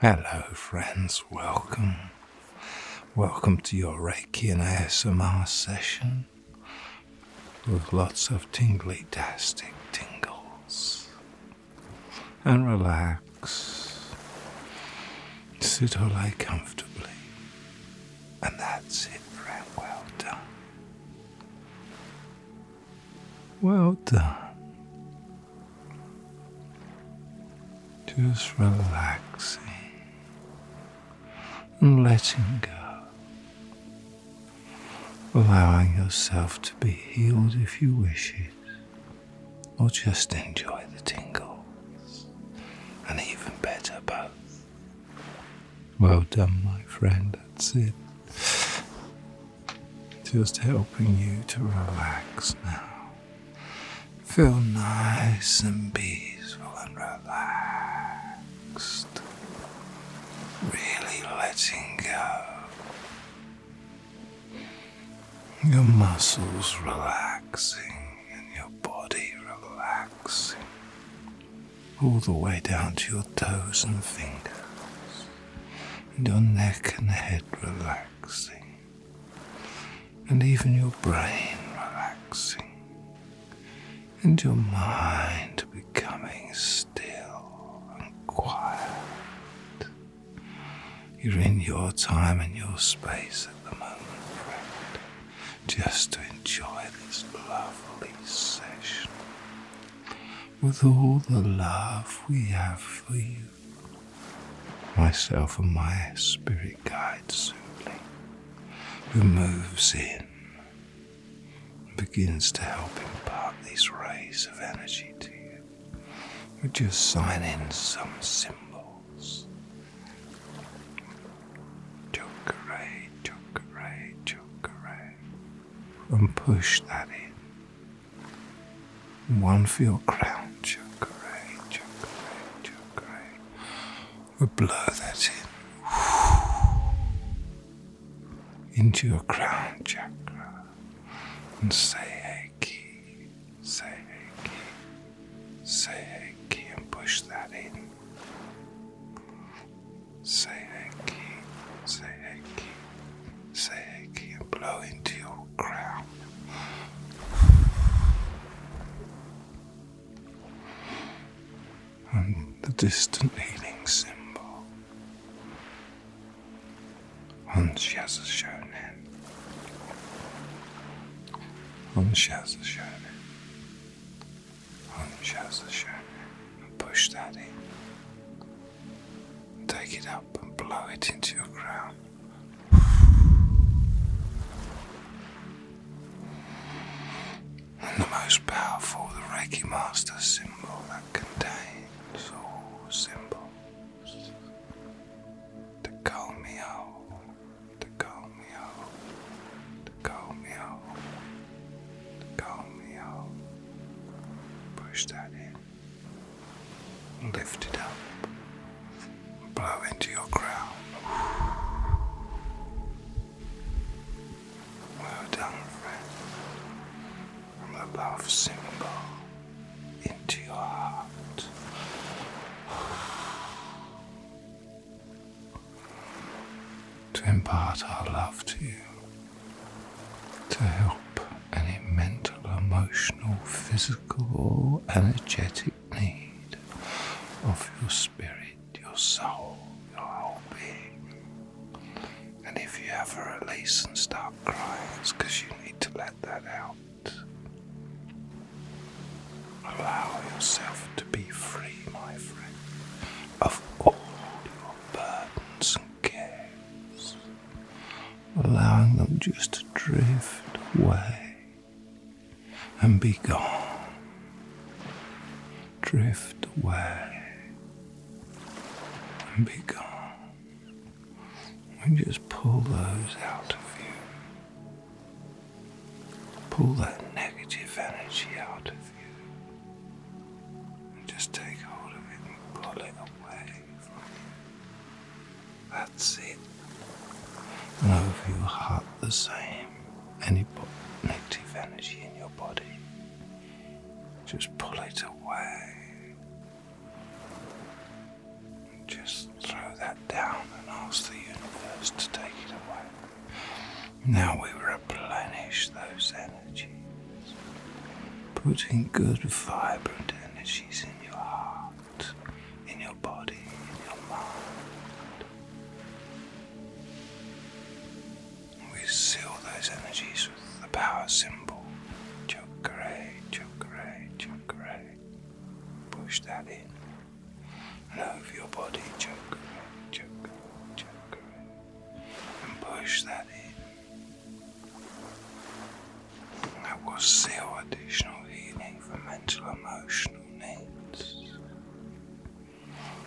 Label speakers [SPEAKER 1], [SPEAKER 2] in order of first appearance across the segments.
[SPEAKER 1] Hello, friends. Welcome. Welcome to your Reiki and ASMR session with lots of tingly tastic tingles. And relax. Sit or lie comfortably. And that's it, friend. Well done. Well done. Just relaxing and letting go, allowing yourself to be healed if you wish it, or just enjoy the tingles, and even better, both. Well done, my friend, that's it. Just helping you to relax now. Feel nice and peaceful and relaxed. Really letting go. Your muscles relaxing and your body relaxing. All the way down to your toes and fingers your neck and head relaxing, and even your brain relaxing, and your mind becoming still and quiet. You're in your time and your space at the moment, friend, just to enjoy this lovely session with all the love we have for you myself and my spirit guide soothly, who moves in and begins to help impart these rays of energy to you. We just sign in some symbols. Chakra, chakra, chakra, and push that in one for your crown chakra, We'll blow that in. Into your crown chakra. And say Heiki, say Heiki, say Heiki, and push that in. Say Heiki, say Heiki. Say Seki and blow into your crown. And the distant healing symbol. On Anshaza Shonen. Anshaza Shonen. Anshaza Shonen. And push that in. Take it up and blow it into your crown. And the most powerful, the Reiki Master symbol that contains all symbols. The Kalmio, the Kalmio, the Kalmio, the Kalmio. Push that in. Lift it up. Blow into your crown. Well done, friend. From the symbol into your heart. To impart our love to you to help any mental, emotional, physical, or energetic need of your spirit, your soul, your whole being. And if you ever release and start crying, it's because you need to let that out. Allow yourself to be free, my friend, of all your burdens and cares, allowing them just to drift away and be gone. Drift away and be gone. And just pull those out of you. Pull that negative energy out of you. And just take hold of it and pull it away from you. That's it. Love your heart the same. Any negative energy in your body, just pull it away. just throw that down and ask the universe to take it away. Now we replenish those energies putting good vibrant energies in your heart, in your body, in your mind. We seal those energies with the power symbol chakra, chakra, chakra. Push that in and over your body, chakra, chakra, chakra, and push that in. There was zero additional healing for mental emotional needs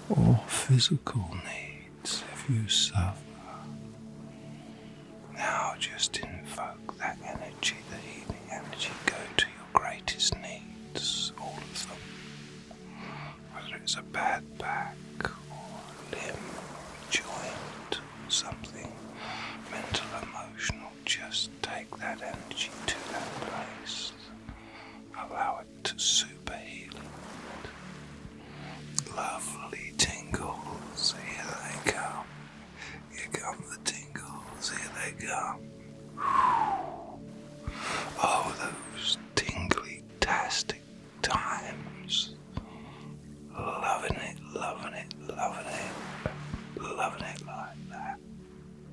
[SPEAKER 1] or physical needs if you suffer. Now just invoke that energy, that healing energy, go to your greatest needs, all of them. Whether it's a bad back or limb, or joint, something mental, emotional, just take that energy to that place. Allow it to super heal Lovely tingles, here they come. Here come the tingles, here they come. Oh, those tingly-tastic times Loving it, loving it, loving it, loving it like that.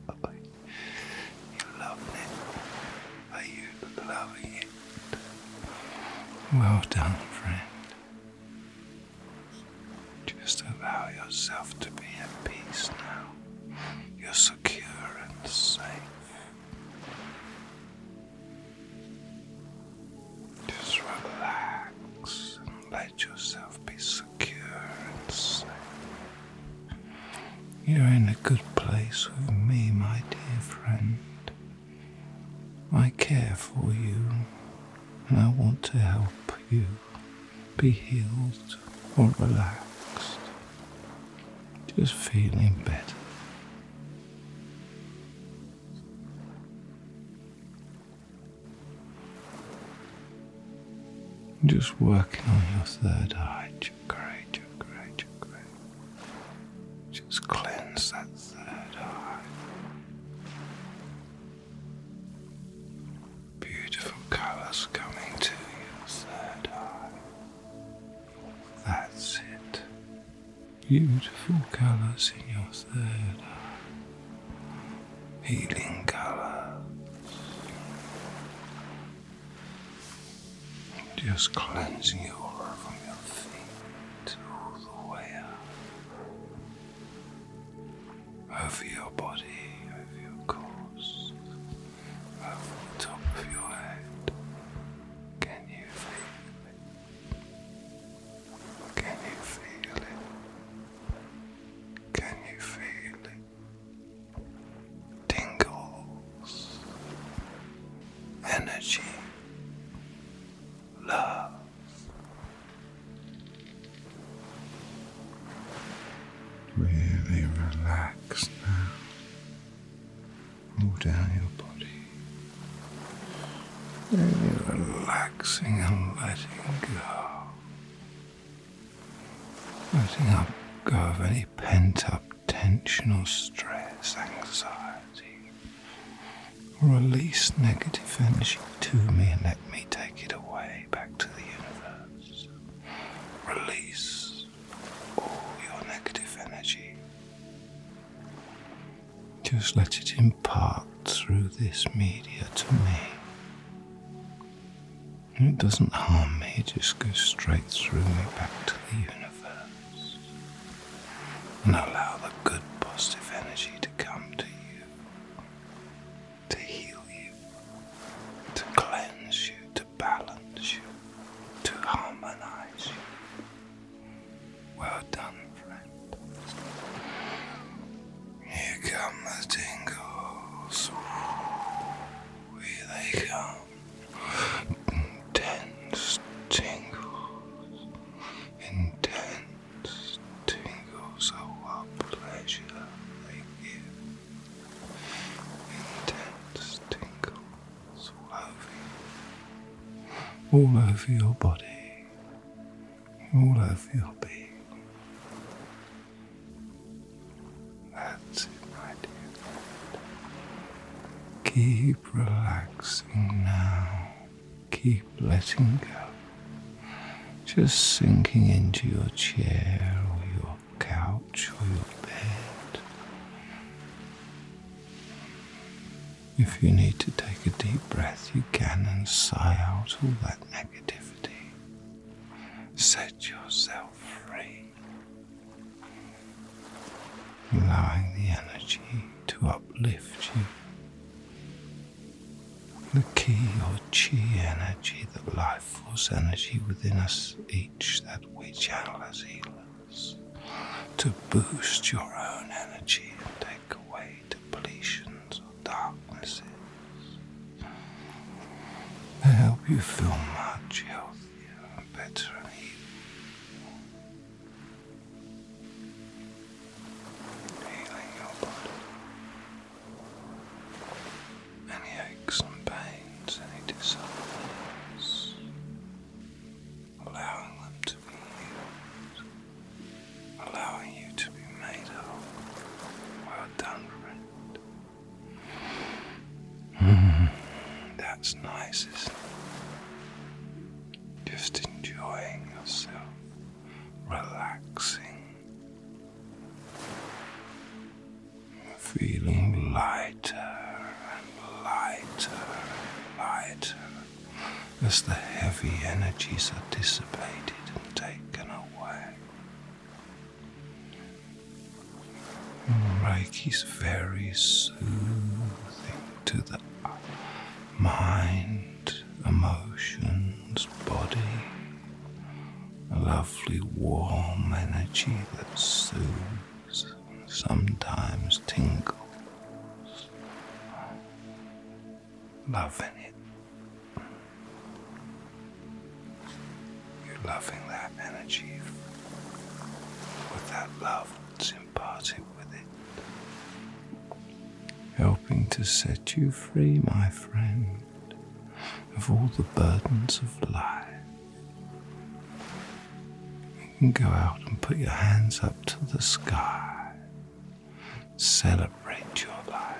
[SPEAKER 1] You're loving it. Are you loving it? Well done, friend. Just allow yourself to be at peace now. You're secure and safe. Just relax and let yourself be secure and safe. You're in a good place with me, my dear friend. I care for you and I want to help you be healed or relaxed. Just feeling better. Just working on your third eye chakra, chakra, chakra. Just cleanse that third eye. Beautiful colors coming to your third eye. That's it beautiful colors in your third healing colors. Just cleansing your aura from your feet all the way up, over your body, over your course, over the top of your head. Can you feel it? Can you feel it? Can you feel it? Tingles, energy, love. Really relax now. All down your body you relaxing and letting go. Letting up go of any pent up tension or stress, anxiety. Release negative energy to me and let me take it away back to the universe. Release all your negative energy. Just let it impart through this media to me. It doesn't harm me, it just goes straight through me back to the universe. And allow the good positive energy to come to you, to heal you, to cleanse you, to balance you, to harmonize you, well done, friend. Here come the tingles. here they come. Intense tingles. Intense tingles of oh, what pleasure they give. Intense tingles all over All over your body all I feel being. That's it, my dear. Keep relaxing now. Keep letting go. Just sinking into your chair or your couch or your bed. If you need to take a deep breath, you can and sigh out all that negativity. Set yourself free, allowing the energy to uplift you. The ki or chi energy, the life force energy within us each that we channel as healers, to boost your own energy and take away depletions or darknesses. I help you feel much healthier and better and healed. Healing your body. Any aches and pains, any disorders, allowing them to be healed allowing you to be made whole. Well done, friend. Mm, mm-hmm. that's nice, isn't it? Just enjoying yourself, relaxing, feeling lighter and lighter and lighter as the heavy energies are dissipated and taken away. Reiki's very soothing to the mind, emotions, body, a lovely warm energy that soothes sometimes tingles loving it. You're loving that energy with that love that's imparted with it. Helping to set you free, my friend, of all the burdens of life. You can go out and put your hands up to the sky Celebrate your life.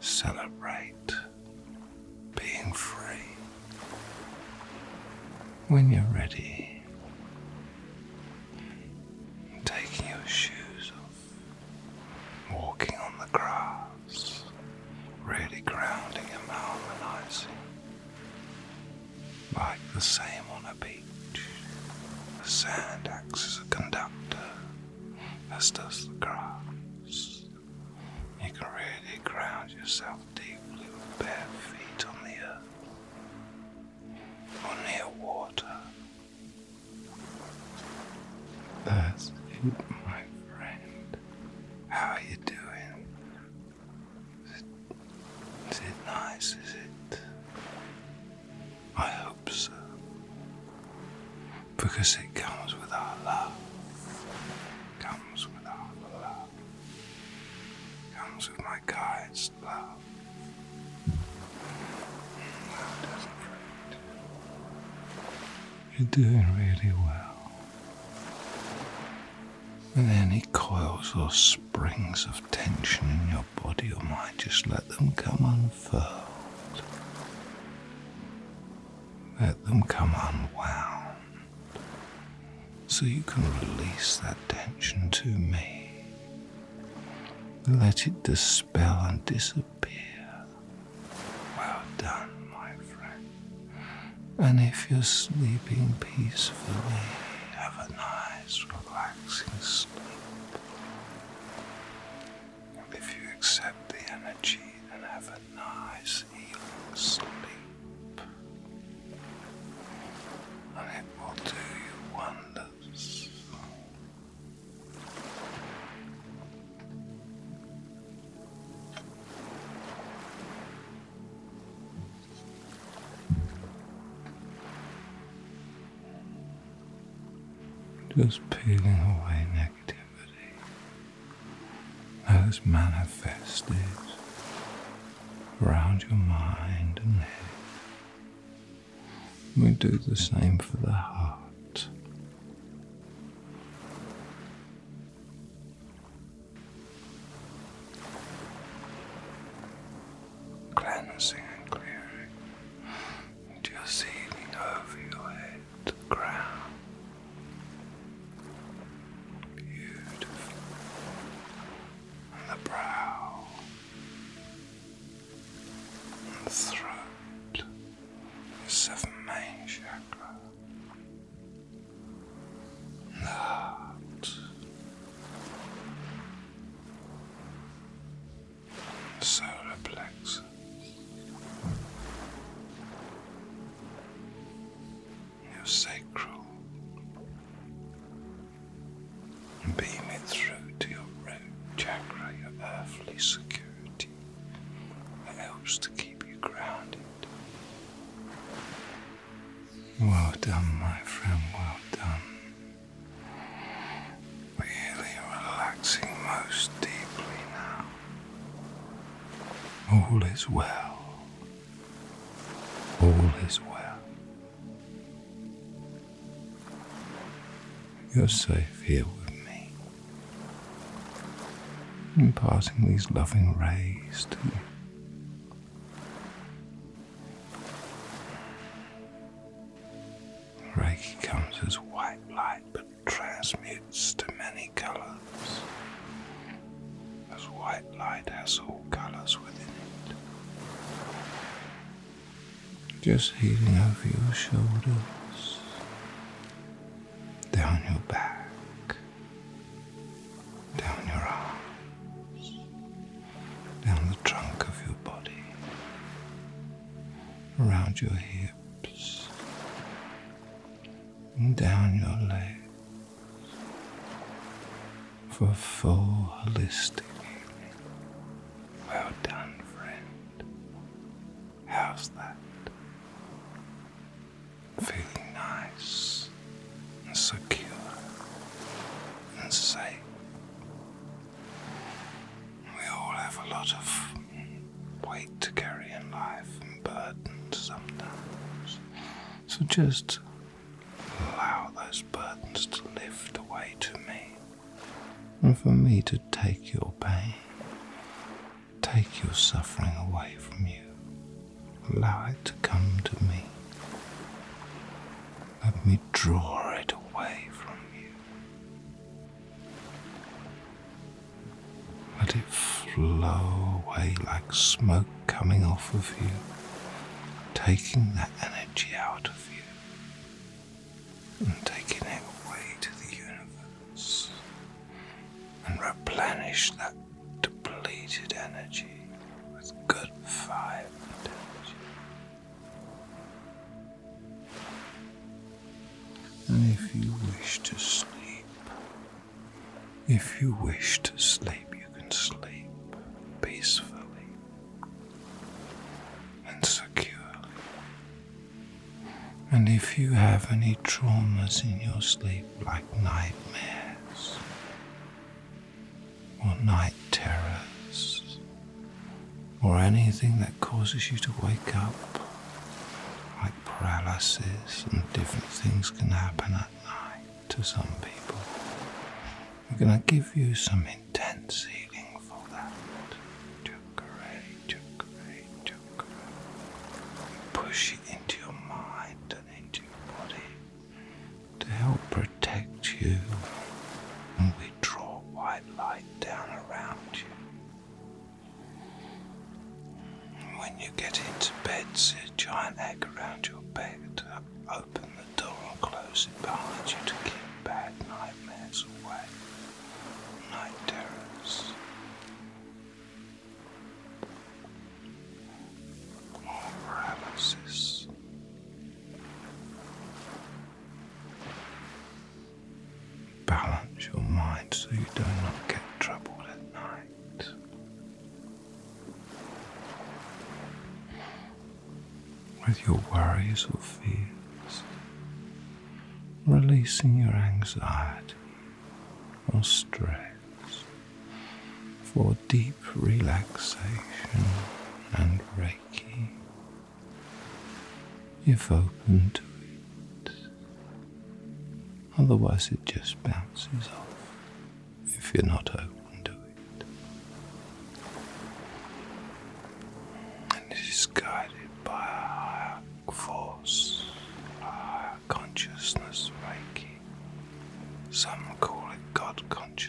[SPEAKER 1] Celebrate being free. When you're ready, taking your shoes off, walking on the grass, really grounding and harmonizing like the same on a beach, the sand acts as a conductor, as does the grass. You can really ground yourself deeply with bare feet on the earth or near water. That's it, my friend. How are you doing? Is it nice? Is it? I hope so. Because it comes with our love. Comes with our love. Comes with my guide's love. You're doing really well. And any he coils or springs of tension in your body or mind, just let them come unfurled. Let them come unwound. So you can release that tension to me. Let it dispel and disappear. Well done, my friend. And if you're sleeping peacefully, have a night nice, relaxing sleep. if you accept the energy and have a nice, healing sleep, and it will do you wonders. Just peeling away negativity as manifested around your mind and head. We do the same for the heart cleansing and clearing into your ceiling over your head to Beautiful. And the brow, and the throat, the main chakra, and solar plexus. Your sacral, beam it through to your root chakra, your earthly security that helps to keep you grounded. Well done, my friend, well done. Really relaxing most deeply now. All is well. All is well. You're safe here with me. Imparting these loving rays to you. Reiki comes as white light but transmutes to many colors. As white light has all colors within it. Just healing over your shoulders, down your back, down your arms, down the trunk of your body, around your hips, and down your legs for a full holistic evening. Well done, friend. How's that? Feeling nice and secure and safe we all have a lot of weight to carry in life and sometimes. So just allow those burdens to lift away to me and for me to take your pain, take your suffering away from you. Allow it to come to me. Let me draw it away from you. Let it flow away like smoke coming off of you, taking that energy out of you and taking it away to the universe and replenish that depleted energy with good fire energy. And if you wish to sleep, if you wish to sleep, you can sleep peacefully and securely. And if you have any traumas in your sleep, like nightmares, or night terrors or anything that causes you to wake up, like paralysis and different things can happen at night to some people. We're going to give you some intense healing for that. Chakra, chakra, chakra. Push it into your mind and into your body to help protect you when we draw white light down around you. When you get into bed, see a giant egg around your bed. Open the door and close it behind you to keep bad nightmares away. Night terrors. Or paralysis balance your mind so you do not get troubled at night. With your worries or fears, releasing your anxiety or stress for deep relaxation and rest if open to it. Otherwise, it just bounces off if you're not open to it. And it is guided by a higher force, a higher consciousness, Reiki. Some call it God consciousness.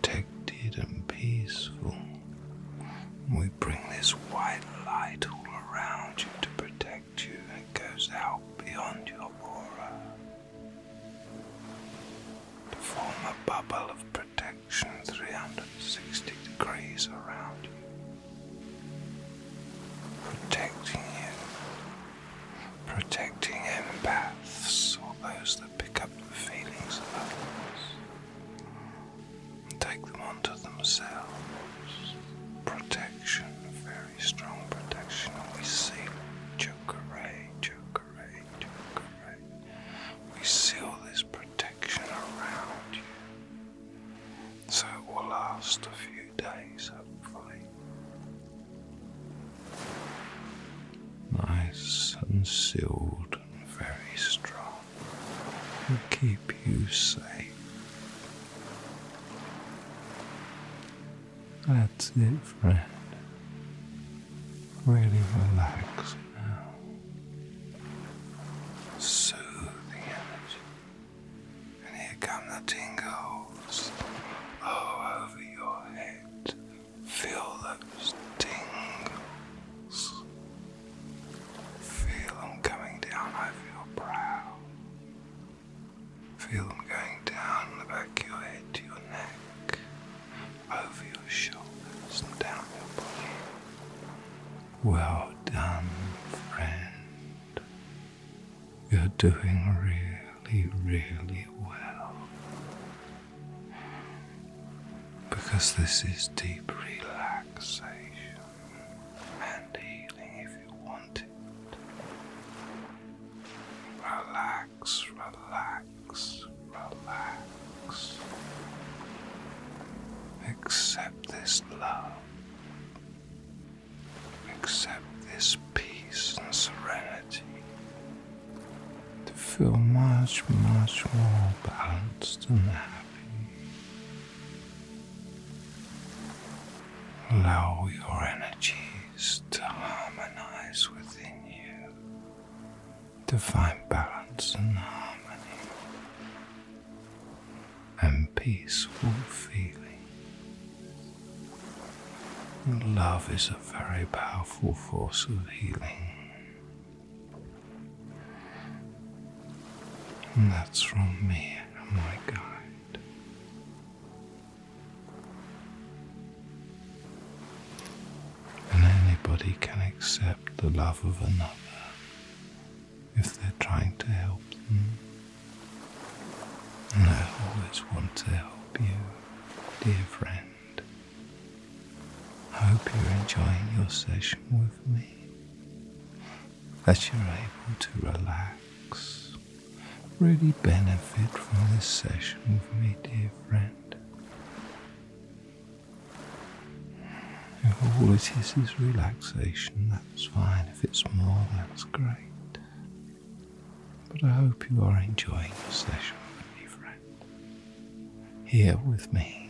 [SPEAKER 1] protected and peaceful. We bring this white light all around you to protect you, and it goes out beyond your aura to form a bubble of protection 360 degrees around you, protecting you, protecting empaths or those that pick up the feelings of others. Take them onto themselves. Protection, very strong protection. We seal, Joker Ray, Joker Ray, Joker Ray. We seal this protection around you. So it will last a few days, hopefully. Nice and sealed very strong will keep you safe. That's it, friend. Really relax now. Soothe the energy. And here come the tingles all over your head Feel the stings. Feel them coming down I feel brow. Feel them going down the back of your head to your neck, over your shoulders, and down your body. Well done, friend. You're doing really, really well because this is deep relaxation and healing if you want it. Relax, relax, relax. Accept this love. Accept this peace and serenity to feel much, much more balanced and happy. Allow your energies to harmonize within you, to find balance and harmony and peaceful feeling. Love is a very powerful force of healing. And that's from me and my guide. And anybody can accept the love of another if they're trying to help them. And I always want to help you, dear friend. I Hope you're enjoying your session with me, that you're able to relax, really benefit from this session with me, dear friend. If all it is is relaxation, that's fine. If it's more, that's great. But I hope you are enjoying your session with me, friend here with me.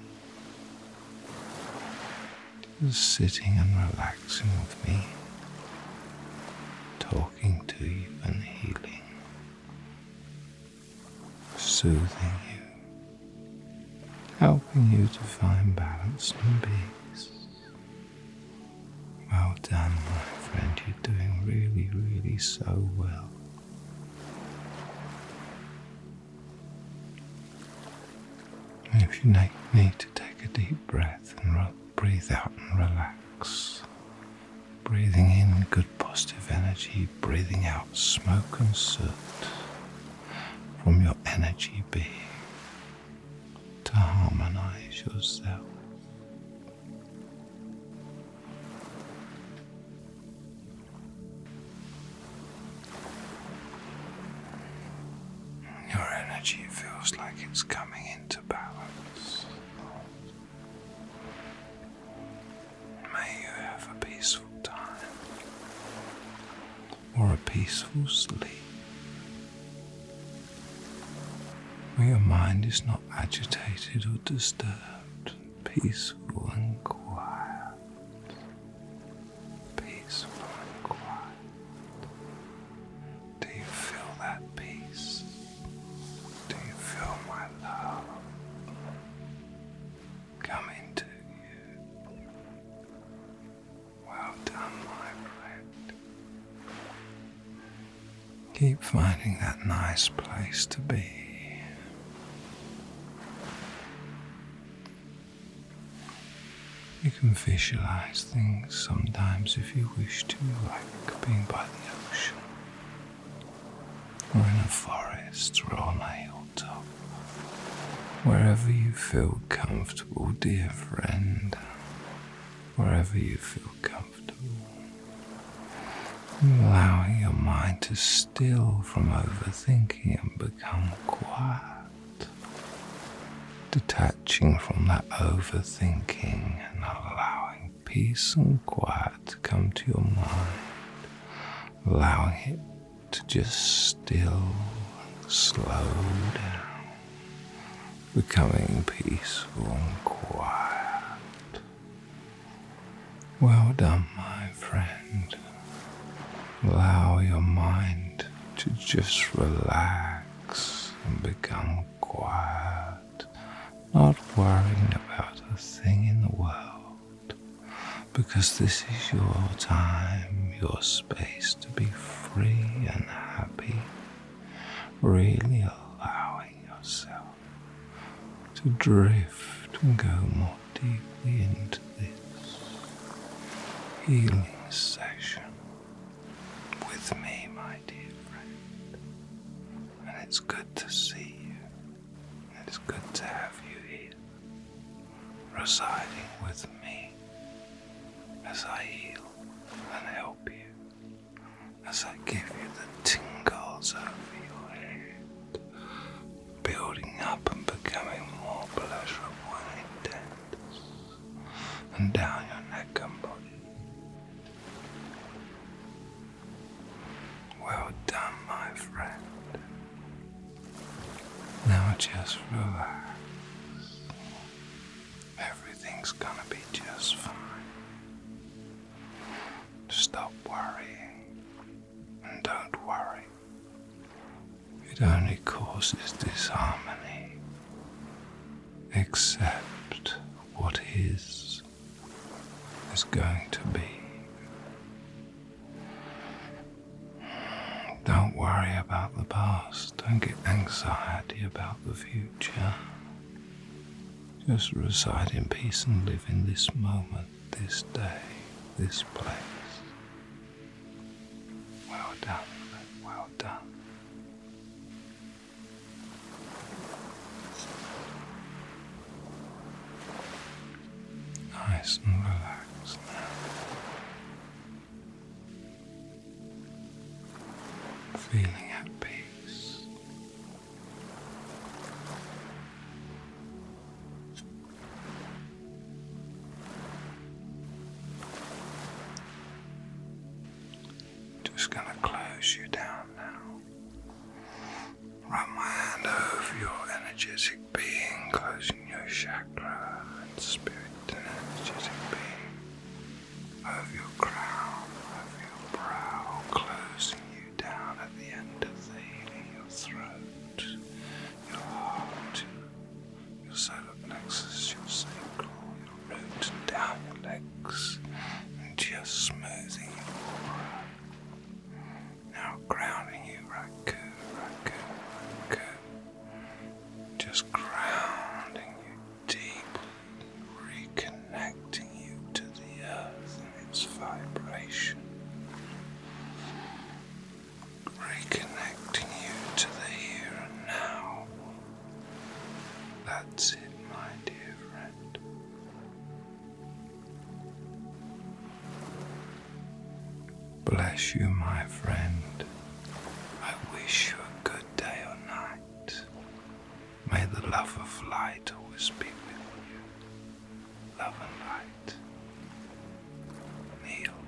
[SPEAKER 1] Just sitting and relaxing with me, talking to you and healing, soothing you, helping you to find balance and peace. Well done, my friend, you're doing really, really so well if you need to take a deep breath and breathe out and relax, breathing in good positive energy, breathing out smoke and soot from your energy being to harmonize yourself. Your energy feels like it's coming into balance. May you have a peaceful time or a peaceful sleep where your mind is not agitated or disturbed, peaceful and quiet peaceful and quiet. Do you feel that peace? Do you feel my love coming to you? Well done, my friend. Keep finding that nice place to be you can visualize things sometimes if you wish to, like being by the ocean, or in a forest, or on a hilltop. Wherever you feel comfortable, dear friend, wherever you feel comfortable allowing your mind to still from overthinking and become quiet, detaching from that overthinking and allowing peace and quiet to come to your mind, allowing it to just still and slow down, becoming peaceful and quiet. Well done, my friend. Allow your mind to just relax and become quiet, not worrying about a thing in the world, because this is your time, your space to be free and happy, really allowing yourself to drift and go more deeply into this healing session with me, my dear friend. And it's good to see you. And it's good to have you here, residing with me as I heal and help you, as I give you the tingles over your head building up and becoming more pleasurable and intense, and down your neck and body. Well done, my friend. Now just relax. Everything's gonna be just fine. Stop worrying don't worry, it only causes disharmony. Accept what is, is going to be. Don't worry about the past, don't get anxiety about the future. Just reside in peace and live in this moment this day, this place. Well done, well done. Nice and relaxed now. Feeling at peace. Just gonna close you down now. Run my hand over your energetic being, closing your chakra and spirit energetic being. Over your crown, over your brow, closing you down at the end of the your throat, your heart, your solar plexus, your sacral, your root, and down your legs, and just smoothing your aura. Now grounding you, Raku, Raku, Raku. Just grounding you deep, reconnecting you to the earth its vibration, reconnecting you to the here and now. That's it, my dear friend. Bless you, my friend. I wish you a good day or night. May the love of light always be with you love and light. Kneel.